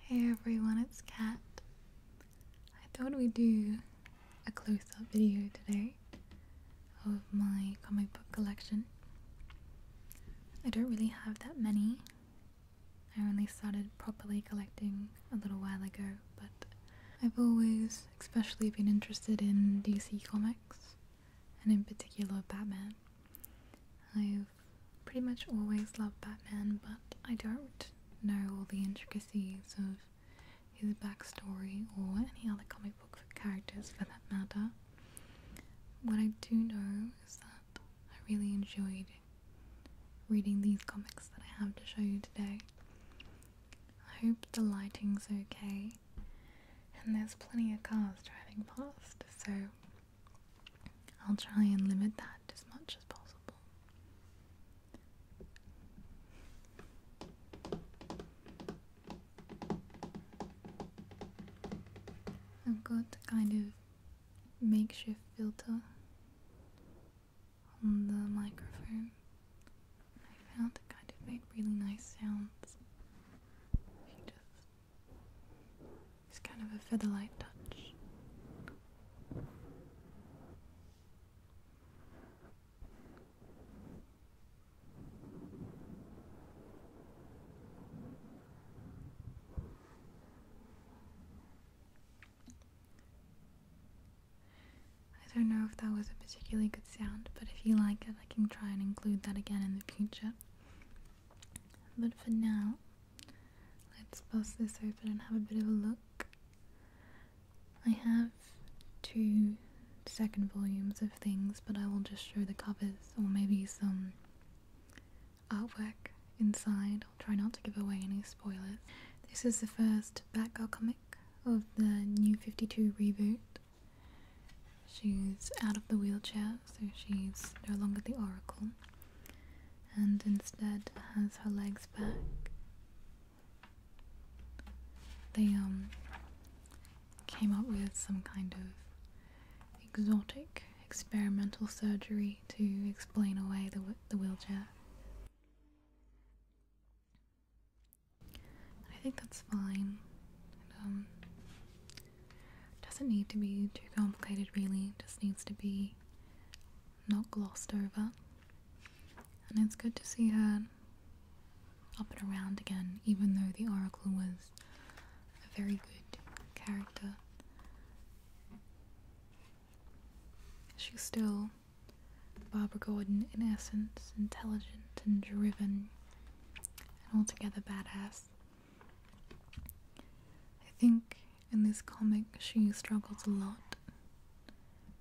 Hey everyone, it's Kat. I thought we'd do a close up video today of my comic book collection. I don't really have that many. I only started properly collecting a little while ago, but I've always especially been interested in DC comics and in particular Batman. I've pretty much always loved Batman, but I don't know all the intricacies of his backstory or any other comic book characters for that matter. What I do know is that I really enjoyed reading these comics that I have to show you today. I hope the lighting's okay and there's plenty of cars driving past, so I'll try and limit that as much as possible. I've got a kind of makeshift filter on the microphone. I found it kind of made really nice sounds. It's kind of a featherlight touch. I don't know if that was a particularly good sound, but if you like it, I can try and include that again in the future. But for now, let's bust this open and have a bit of a look. I have two second volumes of things, but I will just show the covers or maybe some artwork inside. i try not to give away any spoilers. This is the first Batgirl comic of the New 52 reboot. She's out of the wheelchair so she's no longer the oracle and instead has her legs back. They um came up with some kind of exotic experimental surgery to explain away the the wheelchair. I think that's fine. Um, doesn't need to be too complicated, really, just needs to be not glossed over. And it's good to see her up and around again, even though the Oracle was a very good character. She's still Barbara Gordon in essence, intelligent and driven, and altogether badass. I think in this comic she struggles a lot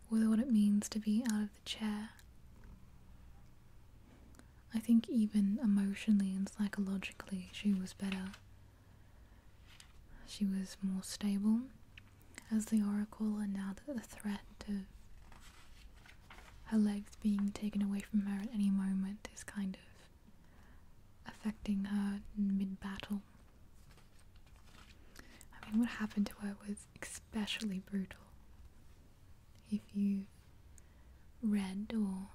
with what it means to be out of the chair. I think even emotionally and psychologically she was better. She was more stable as the Oracle, and now that the threat of her legs being taken away from her at any moment is kind of affecting her mid battle. I mean, what happened to her was especially brutal. If you've read or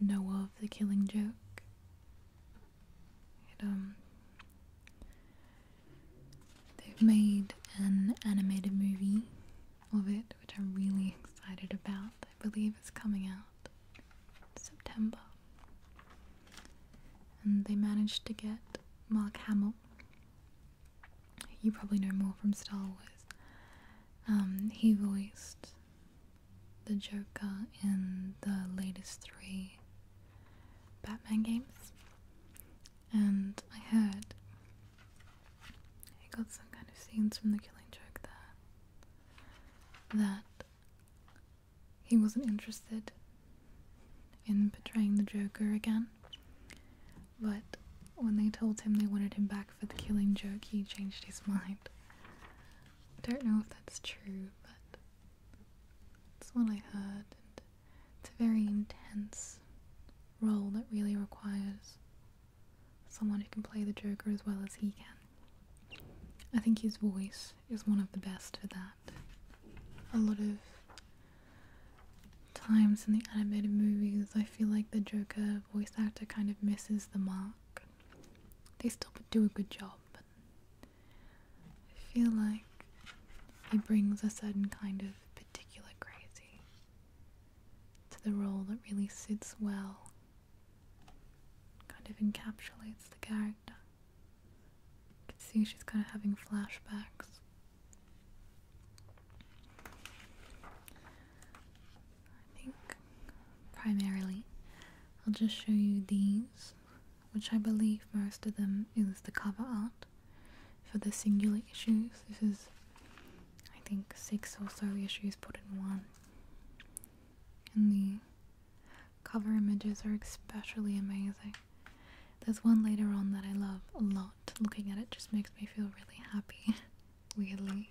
know of the killing joke, um, they've made an animated movie of it, which I'm really excited about. I believe is coming out September. And they managed to get Mark Hamill. You probably know more from Star Wars. Um, he voiced the Joker in the latest three Batman games. And I heard he got some kind of scenes from the Killing Joke there that he wasn't interested in portraying the Joker again, but when they told him they wanted him back for the killing joke, he changed his mind. I don't know if that's true, but that's what I heard. And it's a very intense role that really requires someone who can play the Joker as well as he can. I think his voice is one of the best for that. A lot of times in the animated movies, I feel like the Joker voice actor kind of misses the mark. They still do a good job, but I feel like he brings a certain kind of particular crazy to the role that really sits well kind of encapsulates the character. You can see she's kind of having flashbacks. I think primarily I'll just show you these, which I believe most of them is the cover art for the singular issues. This is, I think, six or so issues put in one. And the cover images are especially amazing. There's one later on that I love a lot. Looking at it just makes me feel really happy, weirdly.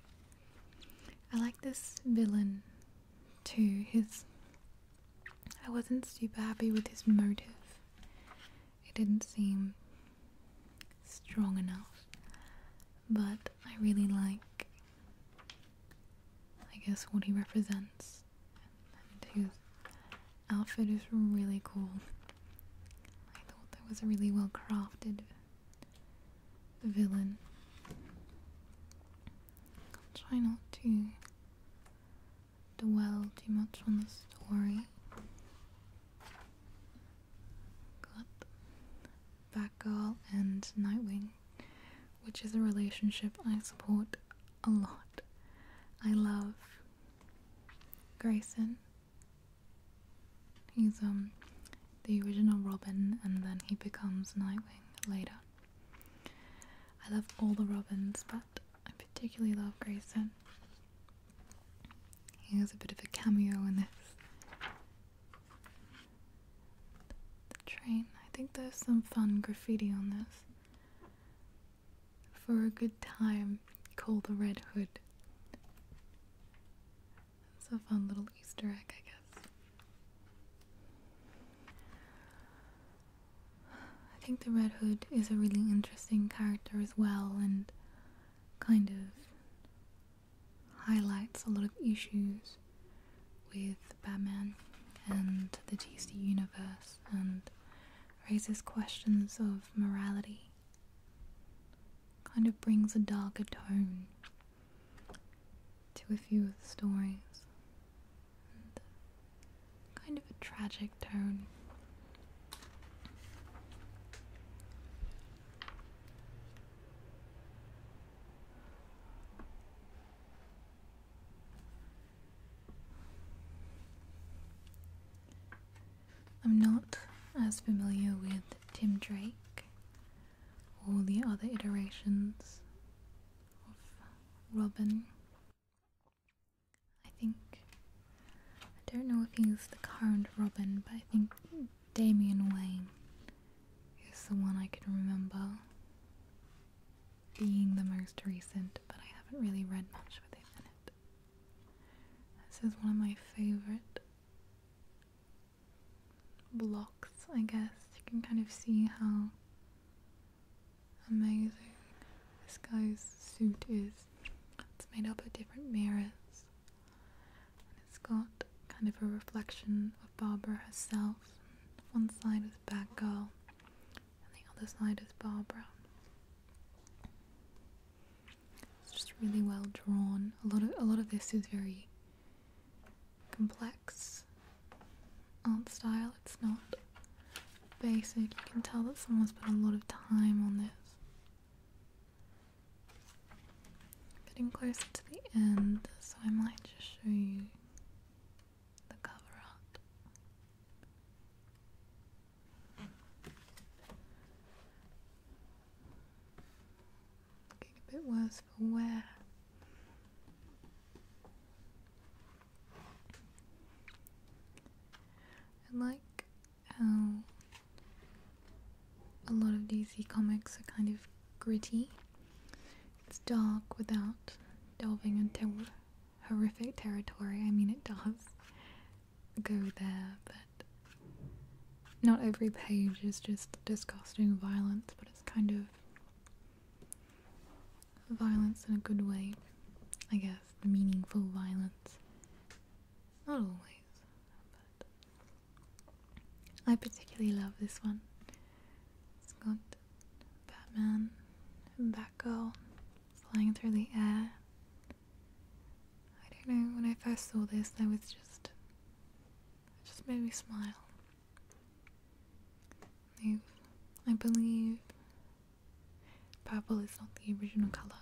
I like this villain too. His. I wasn't super happy with his motive, it didn't seem strong enough, but I really like I guess what he represents. And his outfit is really cool. I thought that was a really well crafted villain. I'll try not to dwell too much on the story. Got Batgirl and Nightwing which is a relationship I support a lot. I love Grayson. He's um the original Robin and then he becomes Nightwing later. I love all the Robins, but I particularly love Grayson. He has a bit of a cameo in this. The train. I think there's some fun graffiti on this. For a good time, call the Red Hood. It's a fun little Easter egg, I guess. I think the Red Hood is a really interesting character as well and kind of highlights a lot of issues with Batman and the DC universe and raises questions of morality. Kind of brings a darker tone to a few of the stories. kind of a tragic tone. I'm not as familiar with Tim Drake All the other iterations of Robin. I think. I don't know if he's the current Robin, but I think Damian Wayne is the one I can remember being the most recent, but I haven't really read much with it. This is one of my favorite blocks, I guess. You can kind of see how amazing this guy's suit is. It's made up of different mirrors, and it's got kind of a reflection of Barbara herself one side is Batgirl, and the other side is Barbara. It's just really well drawn. A lot of a lot of this is very complex art style. It's not basic. You can tell that someone's put a lot of time on this. Getting closer to the end, so I might just show you the cover art. Getting a bit worse for wear. I like how a lot of DC comics are kind of gritty it's dark without delving into horrific territory. I mean, it does go there, but not every page is just disgusting violence, but it's kind of violence in a good way, I guess, meaningful violence. Not always, but I particularly love this one. It's good. Batman and Batgirl flying through the air. I don't know, when I first saw this I was just it just made me smile. I, I believe purple is not the original colour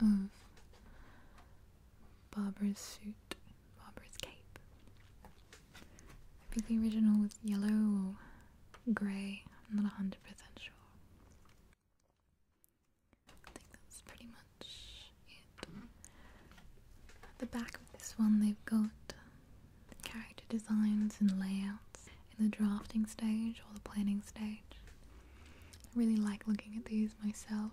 of Barbara's suit, Barbara's cape. I think the original was yellow or grey. I'm not a hundred percent sure. I think that's pretty much it. At the back of this one, they've got character designs and layouts in the drafting stage or the planning stage. I really like looking at these myself.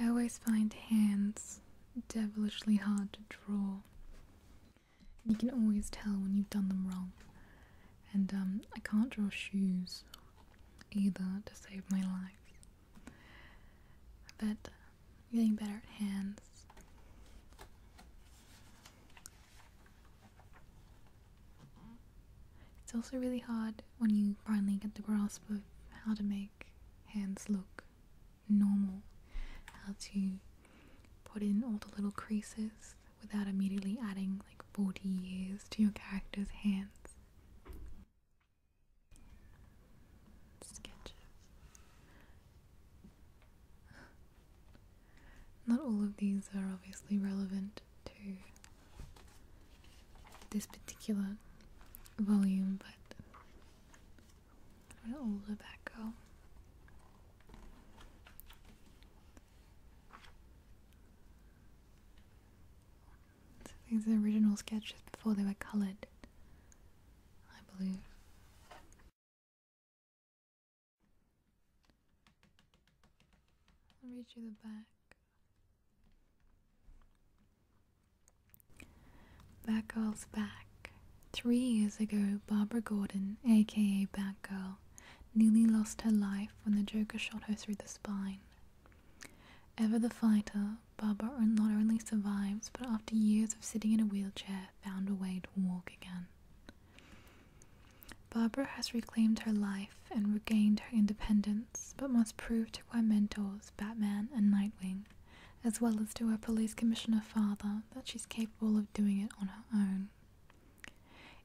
I always find hands devilishly hard to draw. You can always tell when you've done them wrong. And um, I can't draw shoes either to save my life. But I'm getting better at hands. It's also really hard when you finally get the grasp of how to make hands look normal, how to put in all the little creases without immediately adding like 40 years to your character's hands. Sketches. Not all of these are obviously relevant to this particular volume, but where all the back go? these are original sketches before they were coloured, I believe. I'll read you the back. Batgirl's back. Three years ago, Barbara Gordon, aka Batgirl, nearly lost her life when the Joker shot her through the spine. Ever the fighter, Barbara not only survives, but after years of sitting in a wheelchair, found a way to walk again. Barbara has reclaimed her life and regained her independence but must prove to her mentors, Batman and Nightwing, as well as to her police commissioner father, that she's capable of doing it on her own.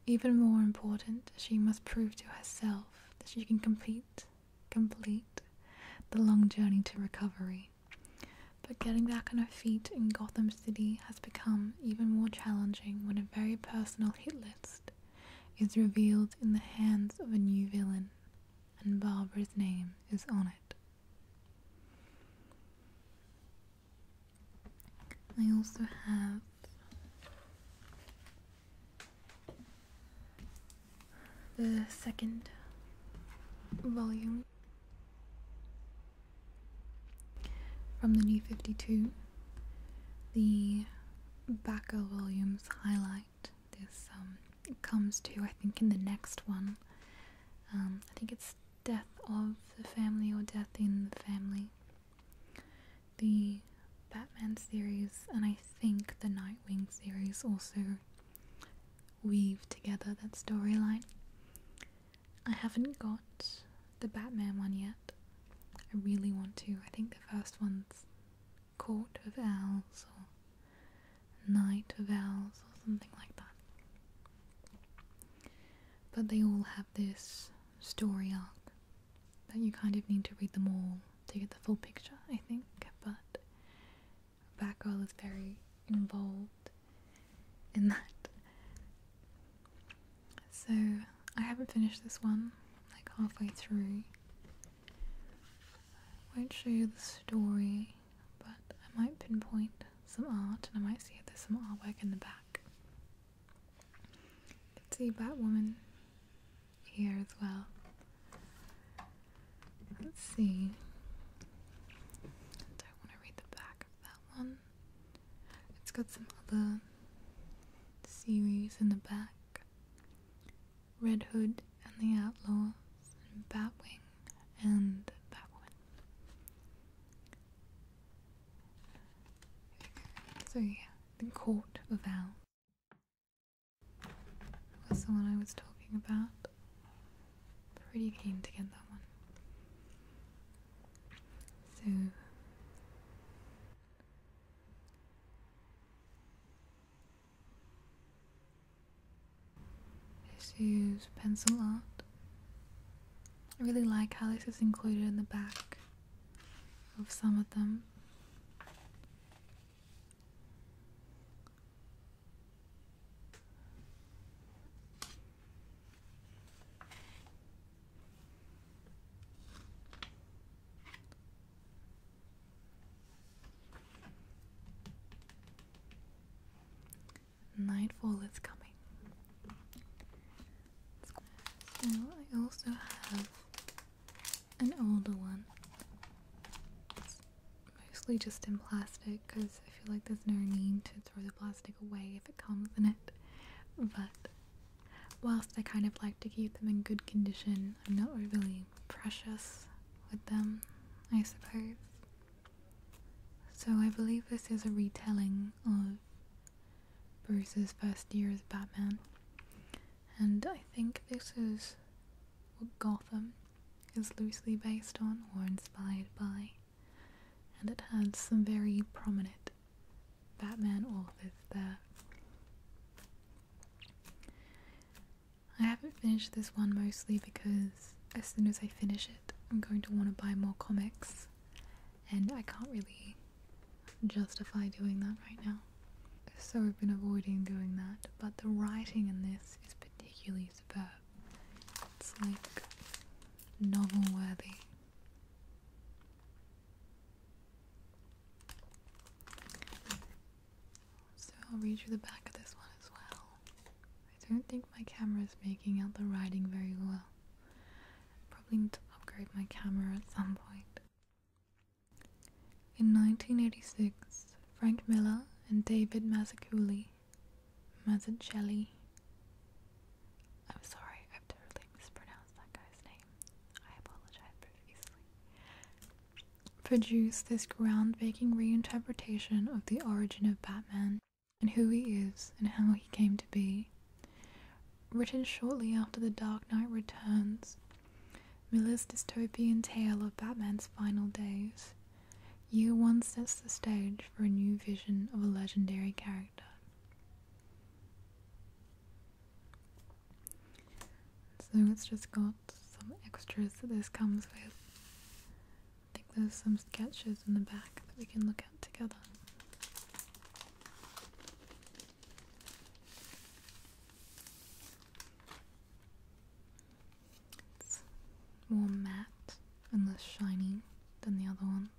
Even more important, she must prove to herself that she can complete, complete the long journey to recovery. But getting back on her feet in Gotham City has become even more challenging when a very personal hit list is revealed in the hands of a new villain, and Barbara's name is on it. I also have the second volume from the New 52, the Backer Williams highlight this um, comes to, I think, in the next one. Um, I think it's death of the family or death in the family. The Batman series and I think the Nightwing series also weave together that storyline. I haven't got the Batman one yet. I really want to. I think the first one's court of owls or night of owls or something like that. But they all have this story arc that you kind of need to read them all to get the full picture, I think. But girl is very involved in that. So I haven't finished this one, like halfway through. I Won't show you the story, but I might pinpoint some art and I might see if there's some artwork in the back. You can see Batwoman here as well. Let's see. don't want to read the back of that one. It's got some other series in the back. Red Hood and the Outlaws, and Batwing and Batwoman. So yeah, the Court of Owls was the one I was talking about. Pretty keen to get that one. So this is pencil art. I really like how this is included in the back of some of them. Nightfall is coming. I also have an older one. It's mostly just in plastic because I feel like there's no need to throw the plastic away if it comes in it. But whilst I kind of like to keep them in good condition, I'm not overly precious with them, I suppose. So I believe this is a retelling of Bruce's first year as Batman, and I think this is what Gotham is loosely based on or inspired by, and it had some very prominent Batman authors there. I haven't finished this one mostly because as soon as I finish it, I'm going to want to buy more comics, and I can't really justify doing that right now. So I've been avoiding doing that, but the writing in this is particularly superb. It's like novel worthy. So I'll read you the back of this one as well. I don't think my camera is making out the writing very well. Probably need to upgrade my camera at some point. In 1986, Frank Miller and David Mazzucchelli, Mazzucchelli, I'm sorry, I've totally mispronounced that guy's name. I apologize profusely produced this groundbreaking reinterpretation of the origin of Batman and who he is and how he came to be. Written shortly after The Dark Knight Returns, Miller's dystopian tale of Batman's final days, Year One sets the stage for a new vision of a legendary character. So it's just got some extras that this comes with. I think there's some sketches in the back that we can look at together. It's more matte and less shiny than the other ones.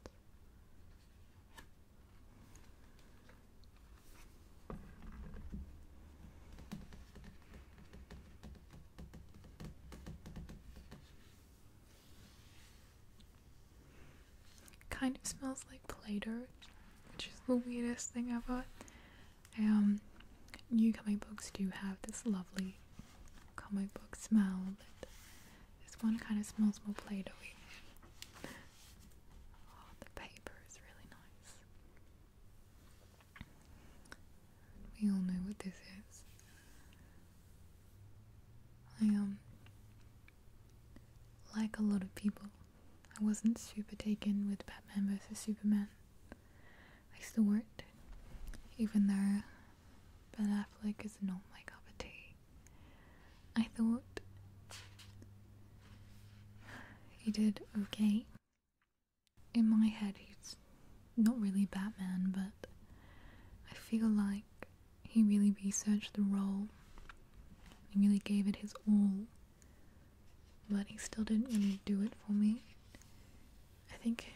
Kind of smells like Play-Doh, which is the weirdest thing ever. Um, new comic books do have this lovely comic book smell, but this one kind of smells more Play-Doh. Oh, the paper is really nice. We all know what this is. I am, um, like a lot of people. I wasn't super taken with Batman vs Superman. I still worked, even though Ben Affleck is not my cup of tea. I thought he did okay in my head, he's not really Batman, but I feel like he really researched the role. He really gave it his all, but he still didn't really do it for me. I think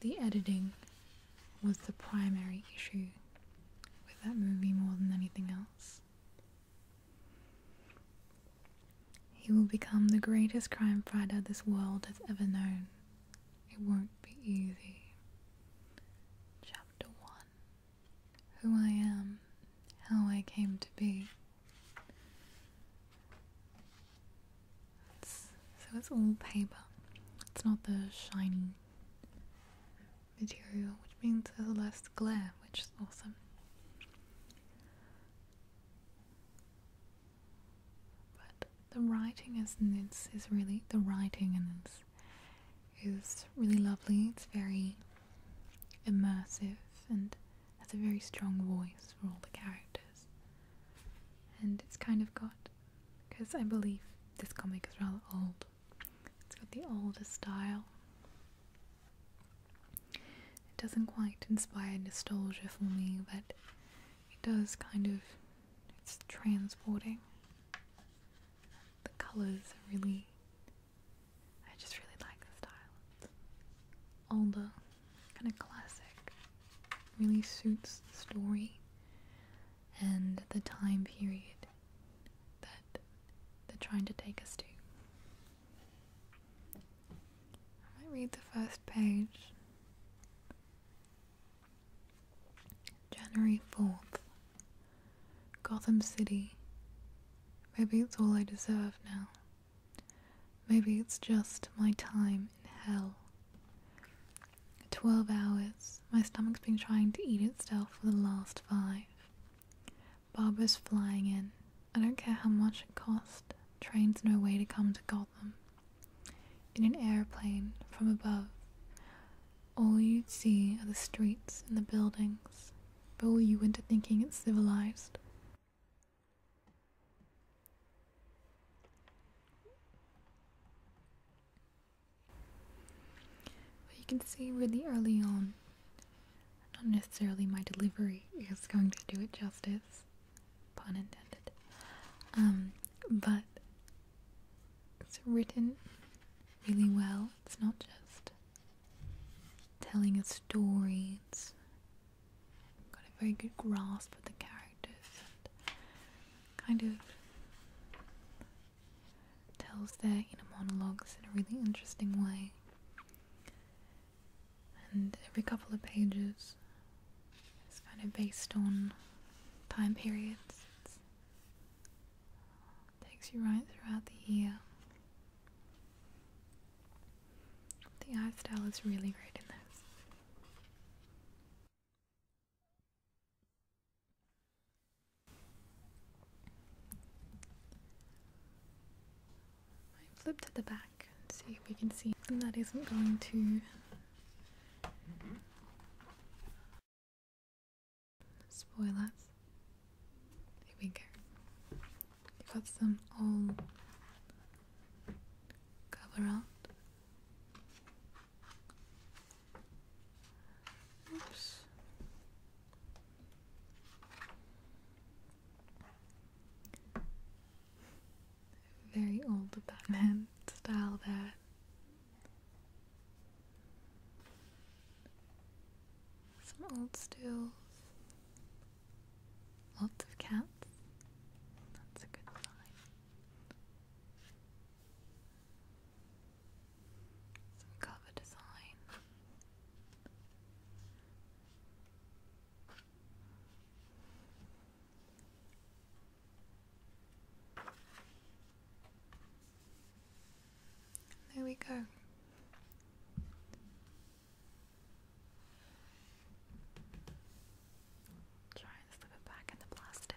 the editing was the primary issue with that movie more than anything else. He will become the greatest crime fighter this world has ever known. It won't be easy. Chapter 1 Who I Am, How I Came to Be. so it's all paper, it's not the shiny material, which means there's less glare, which is awesome. But the writing is it's is really the writing and it's is really lovely. It's very immersive and has a very strong voice for all the characters. And it's kind of got because I believe this comic is rather old. It's got the older style it doesn't quite inspire nostalgia for me, but it does kind of. It's transporting. The colours are really. I just really like the style. older, kind of classic. Really suits the story and the time period that they're trying to take us to i read the first page. January 4th. Gotham City. Maybe it's all I deserve now. Maybe it's just my time in hell. 12 hours. My stomach's been trying to eat itself for the last five. Barbers flying in. I don't care how much it cost. Train's no way to come to Gotham. In an airplane, from above, all you'd see are the streets and the buildings, fool you into thinking it's civilized. you can see really early on not necessarily my delivery is going to do it justice, pun intended. Um, but it's written really well. It's not just telling a story. It's got a very good grasp of the characters and kind of tells their inner monologues in a really interesting way and every couple of pages it's kind of based on time periods. It takes you right throughout the year. The art style is really great in this. I flip to the back and see if we can see and that isn't going to spoil us. Here we go. have got some all cover up. Oops. Very old Batman style There, Some old stools, Lots of cats. That's a good sign. Some cover design. There we go. Try and slip it back in the plastic.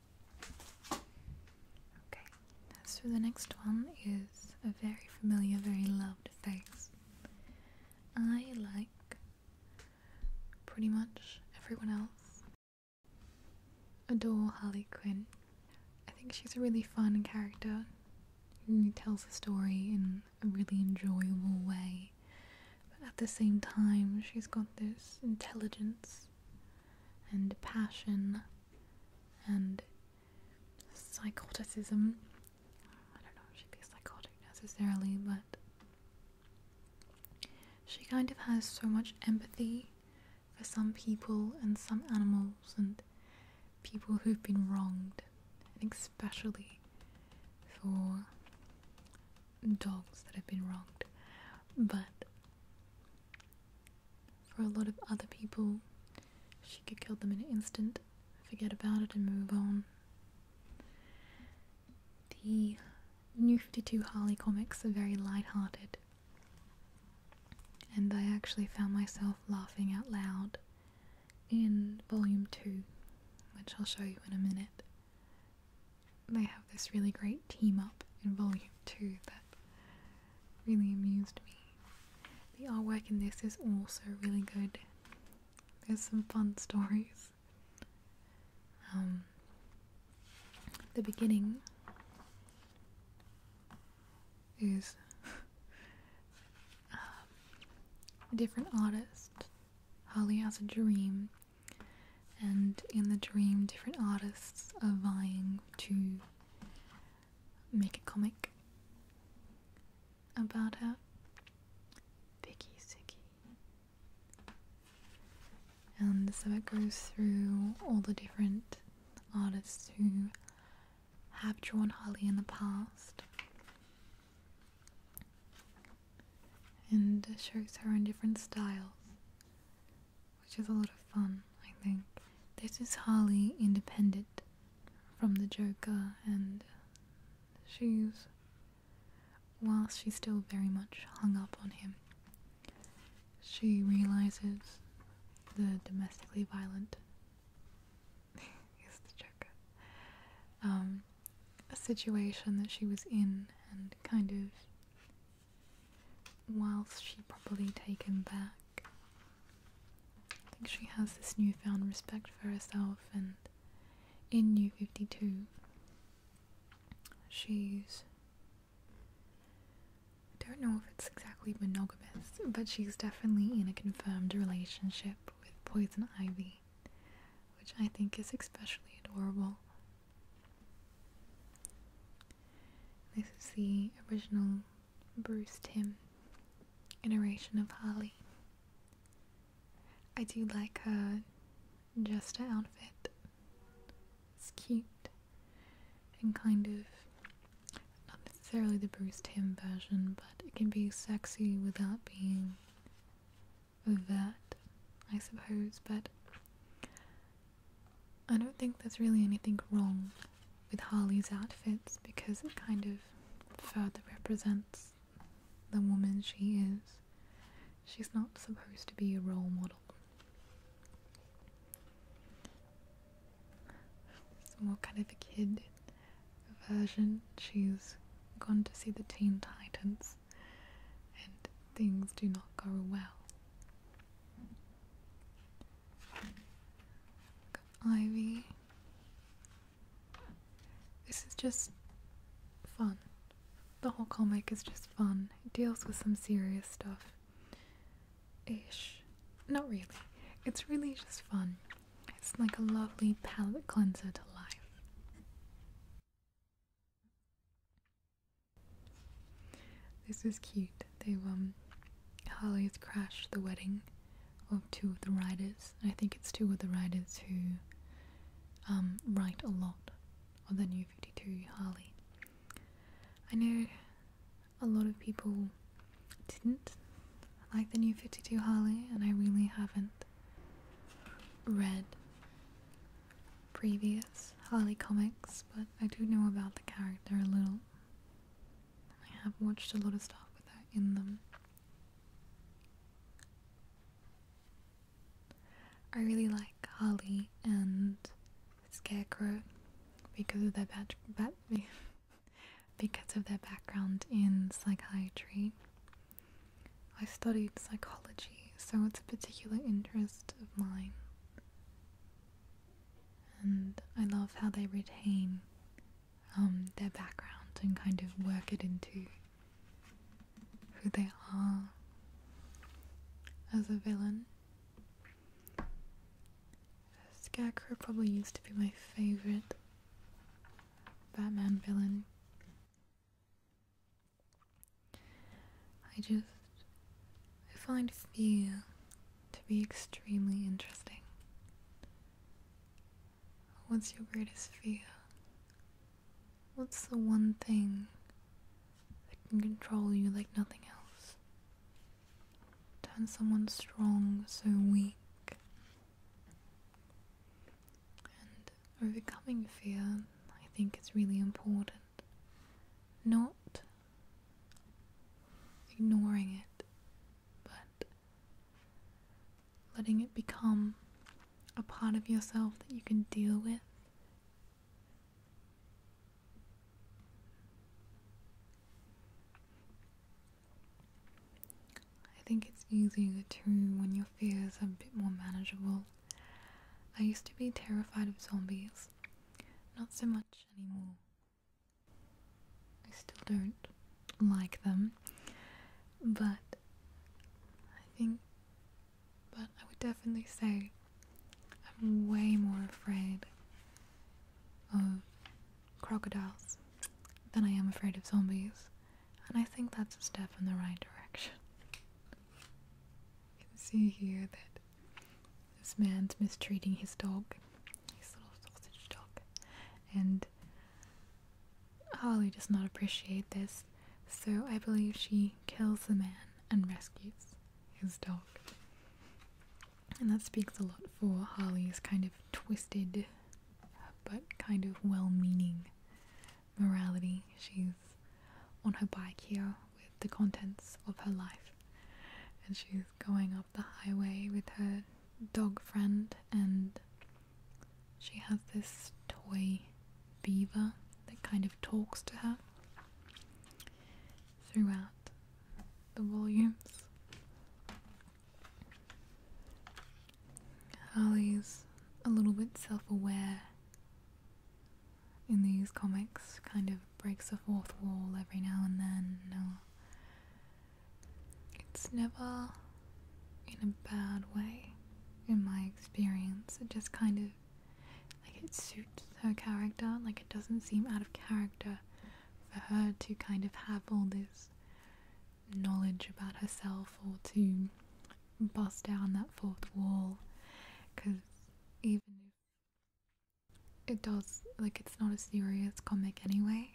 Okay, so the next one is a very familiar, very loved face. I like pretty much everyone else. Adore Harley Quinn. I think she's a really fun character She tells a story in a really enjoyable way. But at the same time, she's got this intelligence and passion and psychoticism. I don't know if she psychotic necessarily, but she kind of has so much empathy for some people and some animals and people who've been wronged, and especially for dogs that have been wronged. But for a lot of other people, she could kill them in an instant, forget about it, and move on. The New 52 Harley comics are very light-hearted, and I actually found myself laughing out loud in Volume 2, which I'll show you in a minute. They have this really great team up in Volume 2 that really amused me. The artwork in this is also really good. There's some fun stories. Um, the beginning is um, a different artist. Holly has a dream, and in the dream, different artists are vying to make a comic about her. Vicky Sicky. And so it goes through all the different artists who have drawn Harley in the past and shows her in different styles which is a lot of fun, I think. This is highly independent from the Joker, and she's, whilst she's still very much hung up on him, she realizes the domestically violent is the Joker. Um, a situation that she was in and kind of whilst she's probably taken back. I think she has this newfound respect for herself, and in New 52, she's. I don't know if it's exactly monogamous, but she's definitely in a confirmed relationship with Poison Ivy, which I think is especially adorable. This is the original Bruce Tim iteration of Holly. I do like her just outfit. It's cute and kind of not necessarily the Bruce Tim version, but it can be sexy without being that, I suppose. But I don't think there's really anything wrong with Harley's outfits because it kind of further represents the woman she is. She's not supposed to be a role model. It's more kind of a kid version. She's gone to see the Teen Titans and things do not go well. Ivy. This is just fun. The whole comic is just fun. It deals with some serious stuff. Ish. Not really. It's really just fun. It's like a lovely palette cleanser to life. This is cute. They've um, Harley's crashed the wedding of two of the writers. I think it's two of the writers who um, write a lot of the New Fifty Two Harley. I know a lot of people didn't like the New Fifty Two Harley, and I really haven't read previous Harley comics, but I do know about the character a little. I have watched a lot of stuff with that in them. I really like Harley and Scarecrow because of their bat, because of their background in psychiatry. I studied psychology, so it's a particular interest of mine and I love how they retain um, their background and kind of work it into who they are as a villain. Scarecrow probably used to be my favourite Batman villain. I just I find few to be extremely interesting. What's your greatest fear? What's the one thing that can control you like nothing else? Turn someone strong so weak. And overcoming fear, I think, is really important. Not ignoring it, but letting it become a part of yourself that you can deal with. I think it's easier to when your fears are a bit more manageable. I used to be terrified of zombies, not so much anymore. I still don't like them, but I think, but I would definitely say I'm way more afraid of crocodiles than I am afraid of zombies, and I think that's a step in the right direction. You can see here that this man's mistreating his dog, his little sausage dog, and Harley does not appreciate this, so I believe she kills the man and rescues his dog. And that speaks a lot for Harley's kind of twisted but kind of well meaning morality. She's on her bike here with the contents of her life, and she's going up the highway with her dog friend, and she has this toy beaver that kind of talks to her throughout the volumes. Harley's a little bit self aware in these comics, kind of breaks the fourth wall every now and then, it's never in a bad way, in my experience. It just kind of like it suits her character. Like it doesn't seem out of character for her to kind of have all this knowledge about herself or to bust down that fourth wall. Because even if it does like it's not a serious comic anyway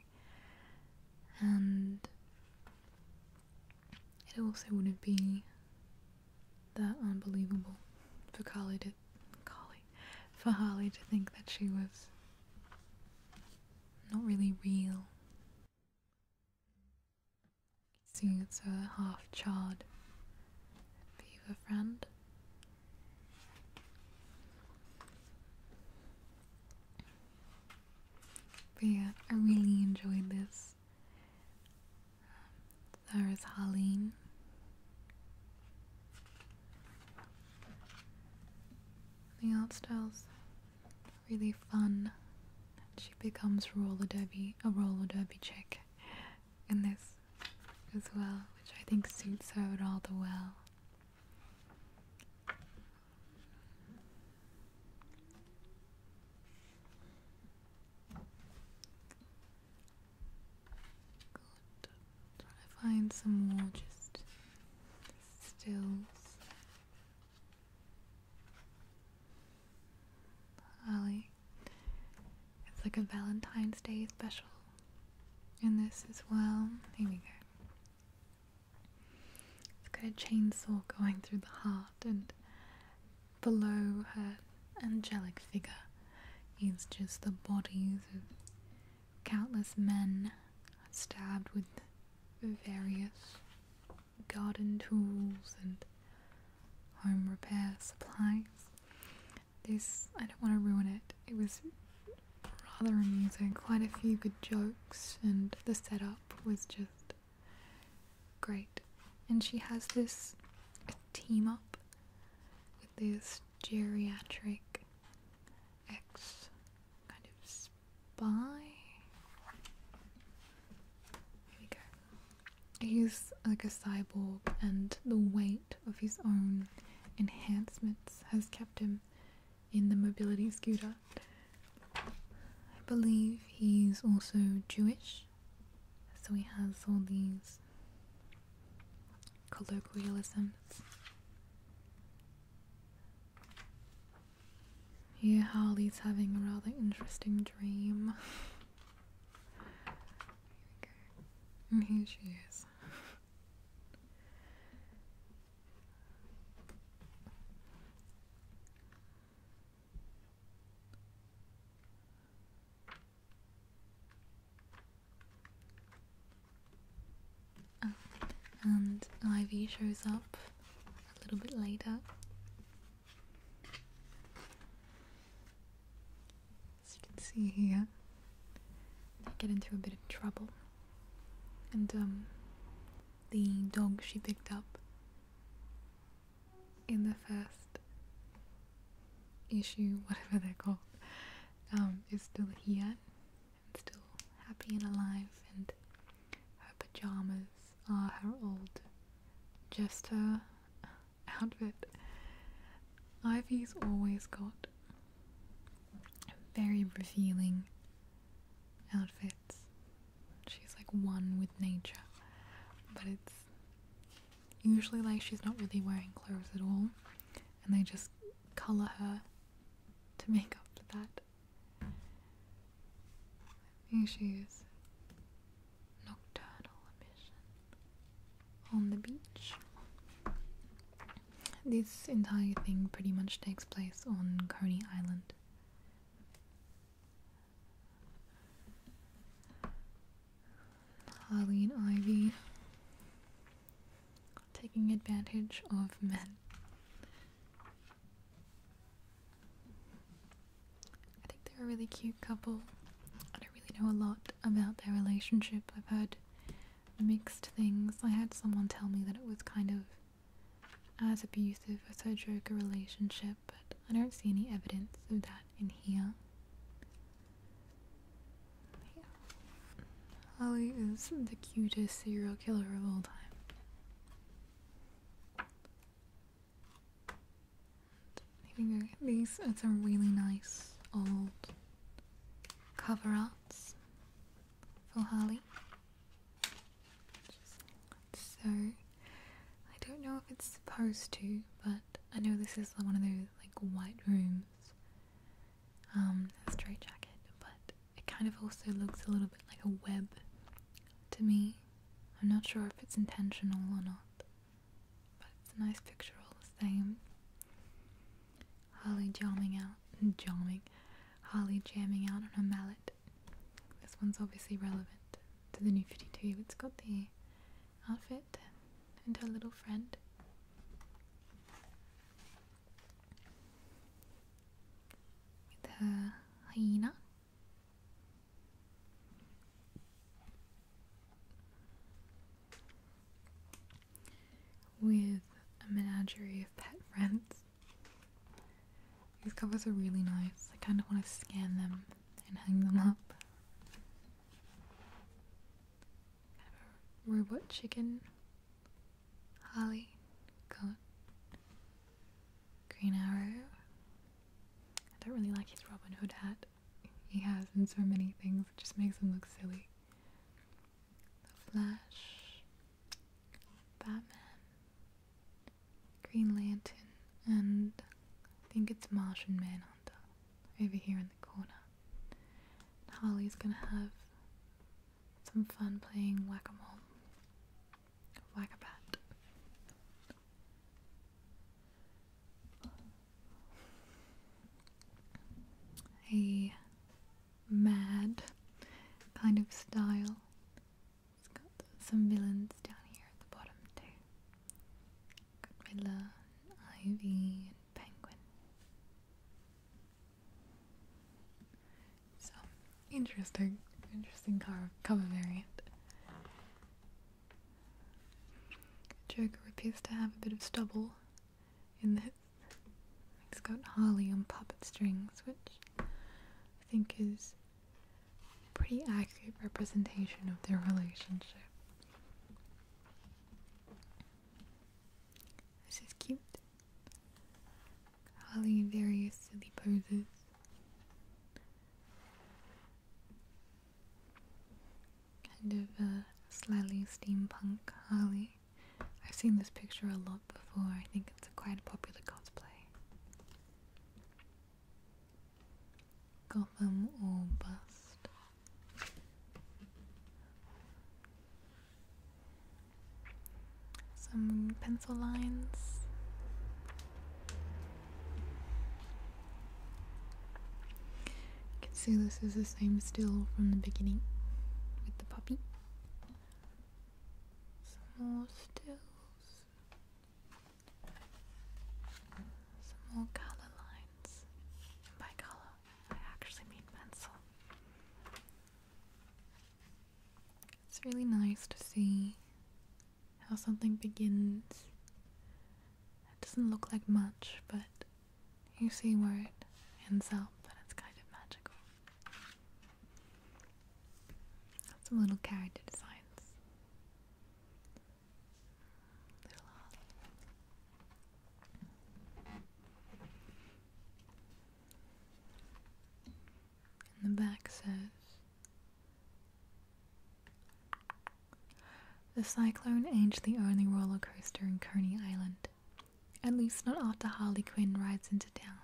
and it also wouldn't be that unbelievable for Carly to for Harley to think that she was not really real. Seeing as her half charred fever friend but yeah, I really enjoyed this. There is Holleen. The art style's really fun. She becomes roller derby, a roller derby chick in this as well, which I think suits her all the well. Good. to find some more just stills. Holly. It's like a Valentine's Day special and this as well. Here we go. It's got a chainsaw going through the heart, and below her angelic figure is just the bodies of countless men stabbed with various garden tools and home repair supplies. This, I don't want to ruin it. It was rather amusing. Quite a few good jokes, and the setup was just great. And she has this team up with this geriatric ex kind of spy. Here we go. He's like a cyborg, and the weight of his own enhancements has kept him in the mobility scooter. I believe he's also Jewish, so he has all these colloquialisms. Yeah, Harley's having a rather interesting dream. And here she is. and Ivy shows up a little bit later. As you can see here, they get into a bit of trouble and um, the dog she picked up in the first issue, whatever they're called, um, is still here and still happy and alive, and her pajamas are her old jester outfit. Ivy's always got very revealing outfits. She's like one with nature, but it's usually like she's not really wearing clothes at all, and they just colour her to make up for that. Here she is. Nocturnal on the beach. This entire thing pretty much takes place on Coney Island. Harleen Ivy taking advantage of men. I think they're a really cute couple. I don't really know a lot about their relationship. I've heard mixed things. I had someone tell me that it was kind of as abusive as her Joker relationship, but I don't see any evidence of that in here. Holly is the cutest serial killer of all time. Here These are some really nice old cover arts for Harley. So I don't know if it's supposed to, but I know this is one of those like white rooms. Um, straight jacket, but it kind of also looks a little bit like a web to me. I'm not sure if it's intentional or not, but it's a nice picture all the same. Holly jamming out and jamming. Holly jamming out on a mallet. This one's obviously relevant to the new 52. It's got the outfit and her little friend. With her hyena with a menagerie of pet friends. These covers are really nice. I kind of want to scan them and hang them up. Kind of a robot chicken. Harley. Green Arrow. I don't really like his Robin Hood hat. He has in so many things, it just makes him look silly. The Flash, Batman, Green Lantern, and I think it's Martian Manhunter over here in the corner. And Harley's gonna have some fun playing whack a mole, mad kind of style. got some villains down here at the bottom too. Got Ivy, and Penguin. So interesting, interesting cover, cover variant. Joker appears to have a bit of stubble in that it's got Harley on puppet strings, which I think is a pretty accurate representation of their relationship. This is cute. Harley in various silly poses. Kind of a uh, slightly steampunk Harley. I've seen this picture a lot before. I think it's a quite a popular cosplay. Got Gotham or bust. Some pencil lines. You can see this is the same still from the beginning with the puppy. Some more stills. Some more color lines. by color, I actually mean pencil. It's really nice to see how something begins. It doesn't look like much, but you see where it ends up, and it's kind of magical. Some little character designs. In the back says The cyclone aged the only roller coaster in Coney Island. At least not after Harley Quinn rides into town.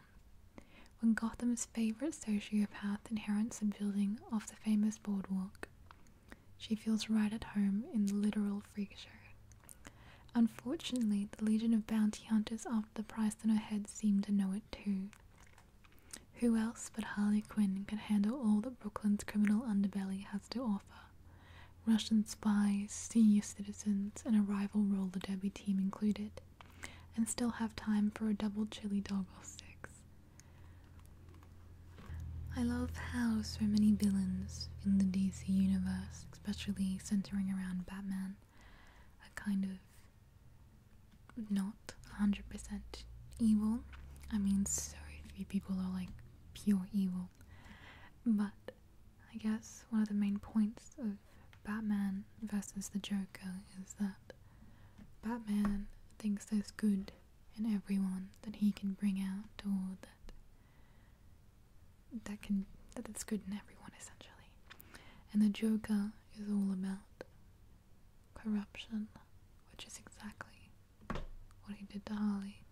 When Gotham's favorite sociopath inherits the building of the famous boardwalk, she feels right at home in the literal freak show. Unfortunately, the legion of bounty hunters after the price on her head seem to know it too. Who else but Harley Quinn can handle all that Brooklyn's criminal underbelly has to offer? Russian spies, senior citizens, restaurants and a rival roller derby team included, and still have time for a double chili dog or six. I love how so many villains in the DC universe, especially centering around Batman, are kind of not 100% evil. I mean, so few people are like pure evil. But I guess one of the main points of Batman versus the Joker is that Batman thinks there's good in everyone that he can bring out or that that can that it's good in everyone essentially. And the Joker is all about corruption, which is exactly what he did to Harley.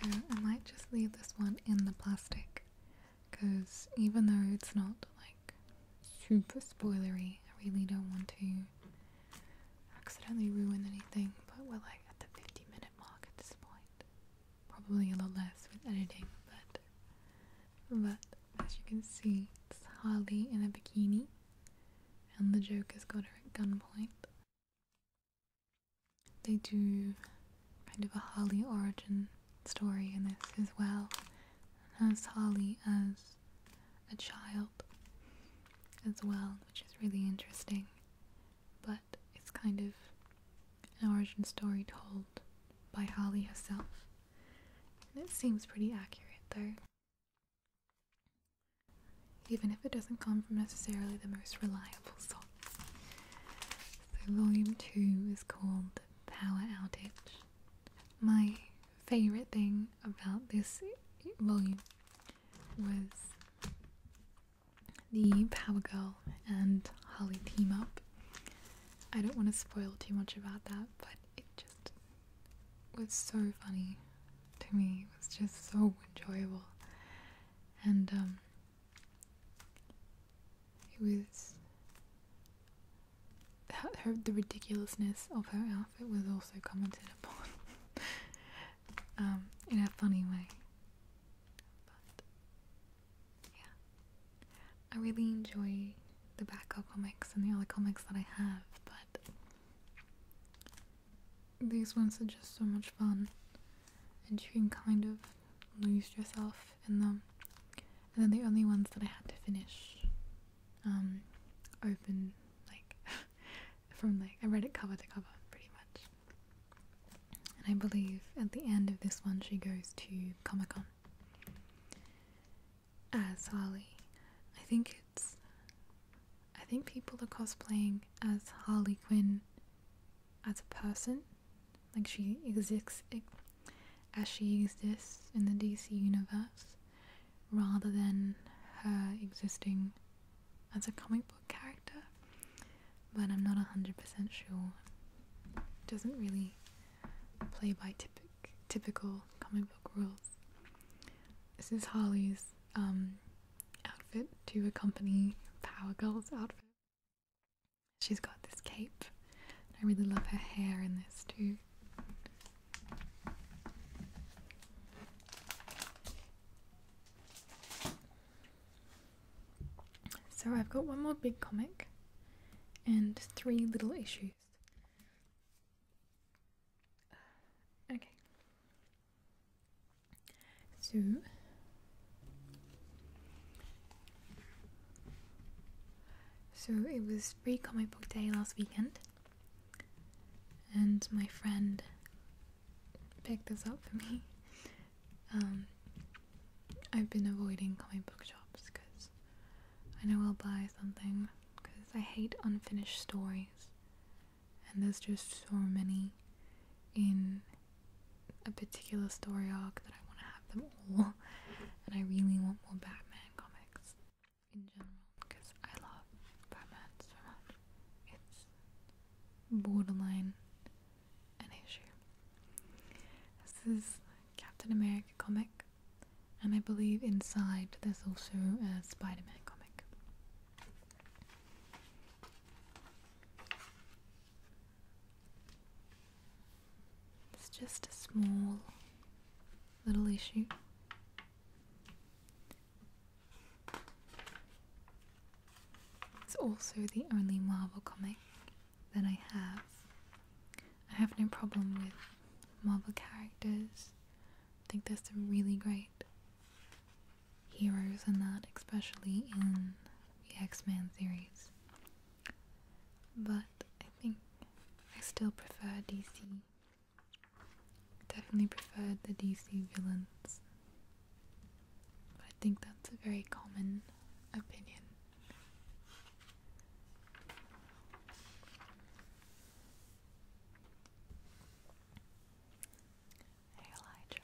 So I might just leave this one in the plastic because even though it's not like super spoilery, I really don't want to accidentally ruin anything, but we're like at the 50 minute mark at this point. Probably a lot less with editing, but but as you can see, it's Harley in a bikini, and the Joker's got her at gunpoint. They do kind of a Harley origin story in this as well, as has Harley as a child as well, which is really interesting. But it's kind of an origin story told by Holly herself, and it seems pretty accurate though. Even if it doesn't come from necessarily the most reliable source. So, volume 2 is called Power Outage. My favourite thing about this volume was the Power Girl and Holly team up. I don't want to spoil too much about that, but it just was so funny to me. It was just so enjoyable. And um, it was. Her, the ridiculousness of her outfit was also commented upon um, in a funny way. I really enjoy the Batgirl comics and the other comics that I have, but these ones are just so much fun, and you can kind of lose yourself in them. And they're the only ones that I had to finish, um, open like from like I read it cover to cover pretty much. And I believe at the end of this one she goes to Comic Con as Holly. I think it's. I think people are cosplaying as Harley Quinn as a person. Like she exists as she exists in the DC universe rather than her existing as a comic book character. But I'm not 100% sure. It doesn't really play by typical comic book rules. This is Harley's um, outfit to accompany Power Girl's outfit. She's got this cape. I really love her hair in this too. So I've got one more big comic and three little issues. Okay. So So it was free comic book day last weekend and my friend picked this up for me. Um I've been avoiding comic book shops because I know I'll buy something because I hate unfinished stories, and there's just so many in a particular story arc that I want to have them all, and I really want more Batman comics in general because I love Batman so much. It's borderline an issue. This is Captain America comic and I believe inside there's also a Spider Man comic. It's just a small little issue. It's also the only Marvel comic that I have I have no problem with Marvel characters. I think there's some really great heroes in that, especially in the X Men series. But I think I still prefer DC. Definitely preferred the DC villains. I think that's a very common opinion. Hey, Elijah.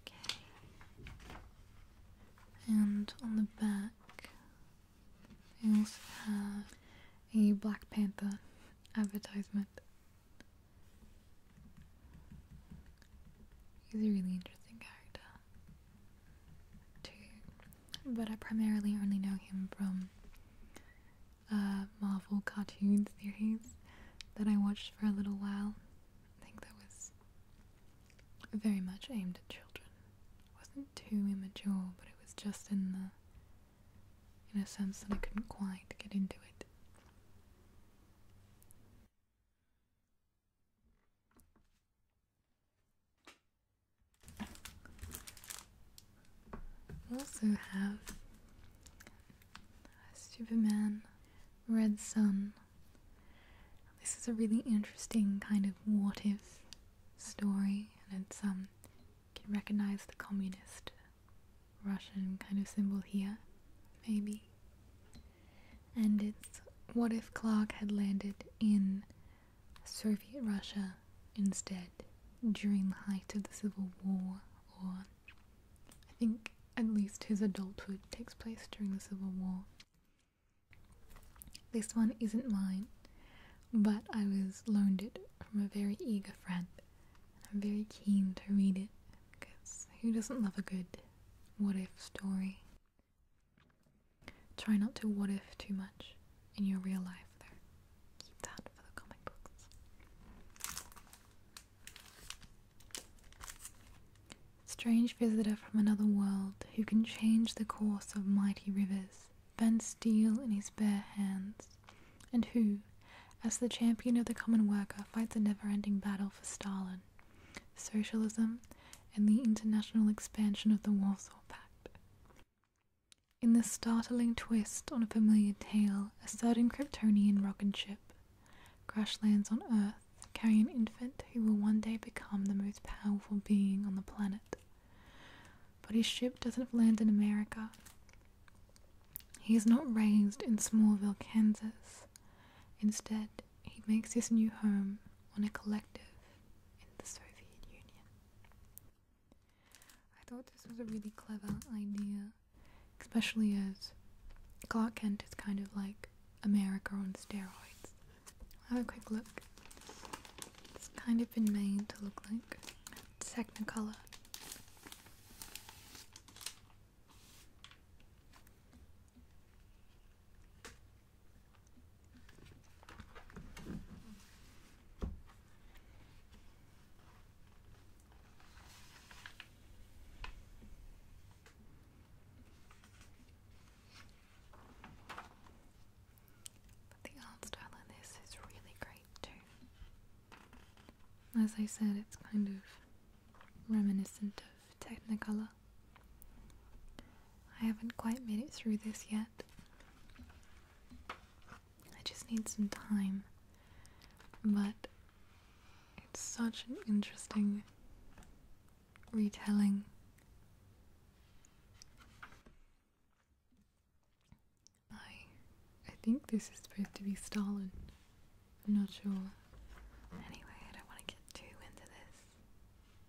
Okay. And on the back, we also have a Black Panther advertisement. He's a really interesting character, too. But I primarily only know him from uh, Marvel cartoons series that I watched for a little while. I think that was very much aimed at children. It wasn't too immature, but it was just in the in a sense that I couldn't quite get into it. also have Superman, Red Sun. This is a really interesting kind of what if story, and it's um can recognize the communist Russian kind of symbol here, maybe. And it's what if Clark had landed in Soviet Russia instead during the height of the Civil War, or I think at least his adulthood takes place during the Civil War. This one isn't mine but I was loaned it from a very eager friend. I'm very keen to read it because who doesn't love a good what if story? Try not to what if too much in your real life, There, Keep that for the comic books. Strange visitor from another world who can change the course of mighty rivers bent steel in his bare hands, and who, as the champion of the common worker, fights a never ending battle for Stalin, socialism, and the international expansion of the Warsaw Pact. In this startling twist on a familiar tale, a certain Kryptonian rocket ship crash lands on Earth carrying an infant who will one day become the most powerful being on the planet. But his ship doesn't land in America, he is not raised in Smallville, Kansas. Instead, he makes his new home on a collective in the Soviet Union. I thought this was a really clever idea, especially as Clark Kent is kind of like America on steroids. Have a quick look. It's kind of been made to look like Technicolor but the art style in this is really great too. As I said, it's kind of reminiscent of Technicolor. I haven't quite made it through this yet. I just need some time. But it's such an interesting retelling. I I think this is supposed to be Stalin. I'm not sure. Anyway, I don't want to get too into this,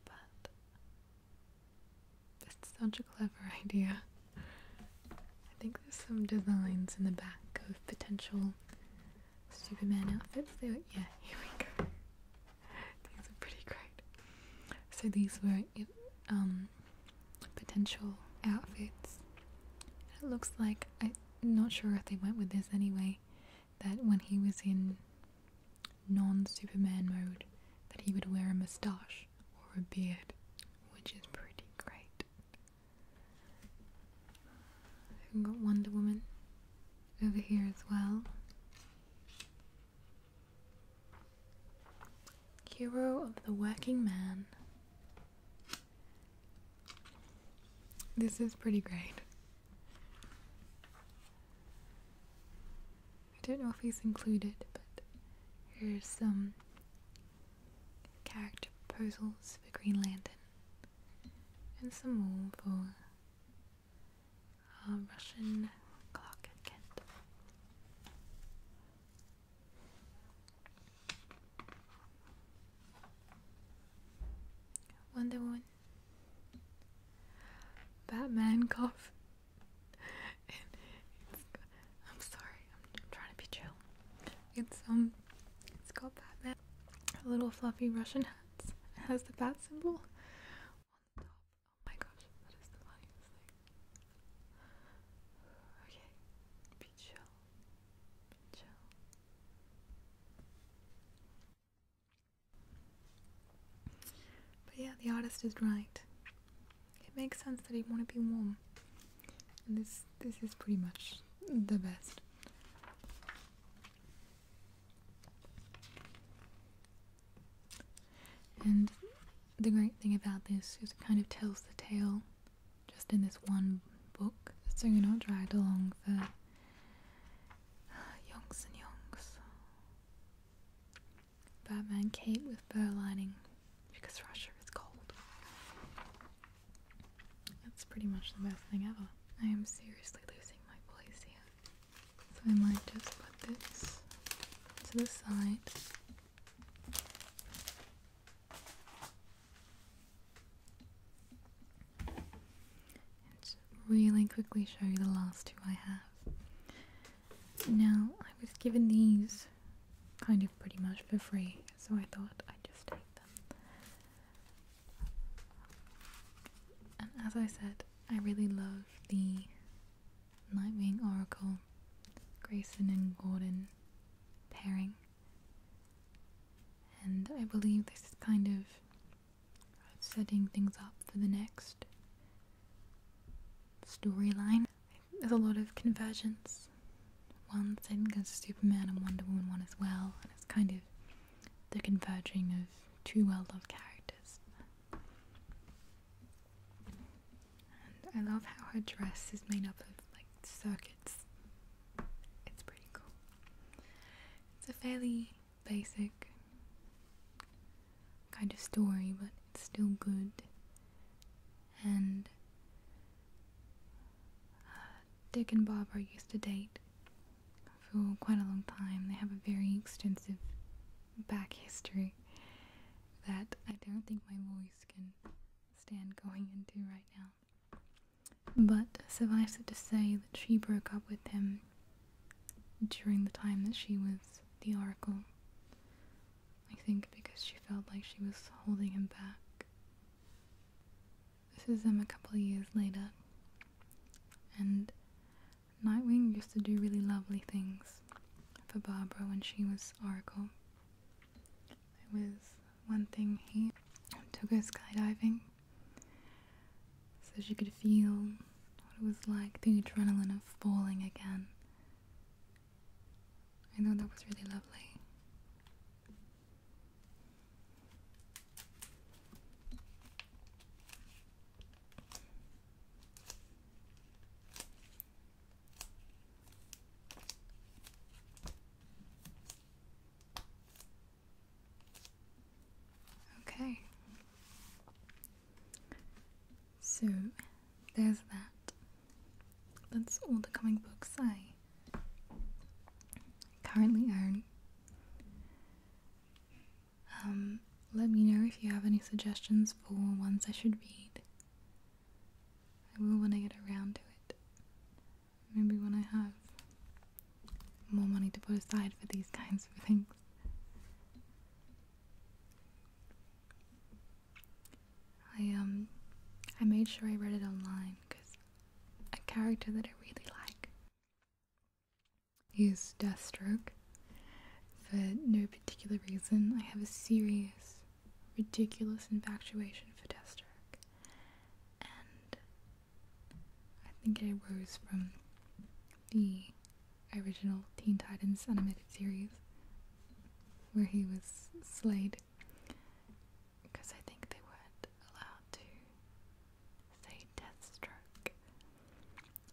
but it's such a clever idea. I think there's some designs in the back of potential Superman outfits. They yeah, here we go. These are pretty great. So these were um, potential outfits. It looks like I'm not sure if they went with this anyway. That when he was in non-Superman mode, that he would wear a moustache or a beard, which is pretty great. We've got Wonder Woman over here as well. Hero of the Working Man this is pretty great. I don't know if he's included, but here's some character proposals for Greenland and some more for uh, Russian Clark Kent. Wonder Woman, Batman cough. I'm sorry, I'm, trying to be chill. It's um, it's got Batman, a little fluffy Russian hats. has the bat symbol Oh my gosh, that is the funniest Okay, be chill. Be chill. But yeah, the artist is right. It makes sense that he'd want to be warm. And this this is pretty much the best. And the great thing about this is it kind of tells the tale just in this one book, so you're not dragged along for yonks and yonks. Batman cape with fur lining because Russia is cold. That's pretty much the best thing ever. I am seriously losing my place here. So I might just put this to the side and really quickly show you the last two I have. Now, I was given these kind of pretty much for free, so I thought I'd just take them. And as I said, I really love the Nightwing Oracle, Grayson and Gordon pairing. And I believe this is kind of setting things up for the next storyline. There's a lot of convergence. One thing goes to Superman and Wonder Woman one as well, and it's kind of the converging of two well-loved characters. I love how her dress is made up of like circuits. It's pretty cool. It's a fairly basic kind of story, but it's still good. And uh, Dick and Bob are used to date for quite a long time. They have a very extensive back history that I don't think my voice can stand going into right now. But survives it to say that she broke up with him during the time that she was the Oracle. I think because she felt like she was holding him back. This is him um, a couple years later. And Nightwing used to do really lovely things for Barbara when she was Oracle. There was one thing he took her skydiving so she could feel what it was like, the adrenaline of falling again. I know that was really lovely. Okay. So there's that. That's all the coming books I currently own. Um, let me know if you have any suggestions for ones I should read. I will when I get around to it. Maybe when I have more money to put aside for these kinds of things. I um I made sure I read it online because a character that I really like is Deathstroke. For no particular reason, I have a serious ridiculous infatuation for Desterk. And I think it arose from the original Teen Titans animated series where he was slain. because I think they weren't allowed to say Deathstroke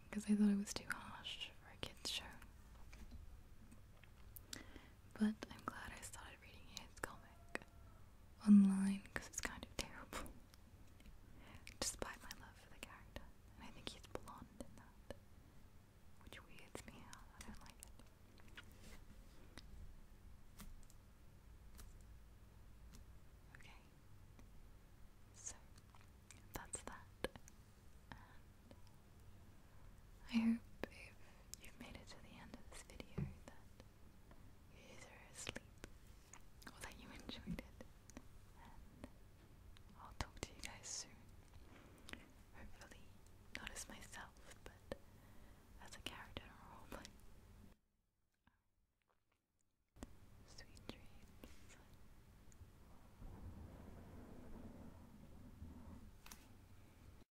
because they thought it was too harsh for a kids show. But I'm glad I started reading his comic online because it's kind of terrible. Despite my love for the character. And I think he's blonde in that. Which weirds me out. I don't like it. Okay. So that's that. I hope if you've made it to the end of this video that you are asleep or that you enjoyed it. And I'll talk to you guys soon. Hopefully, not as myself, but as a character in a roleplay. Sweet dreams.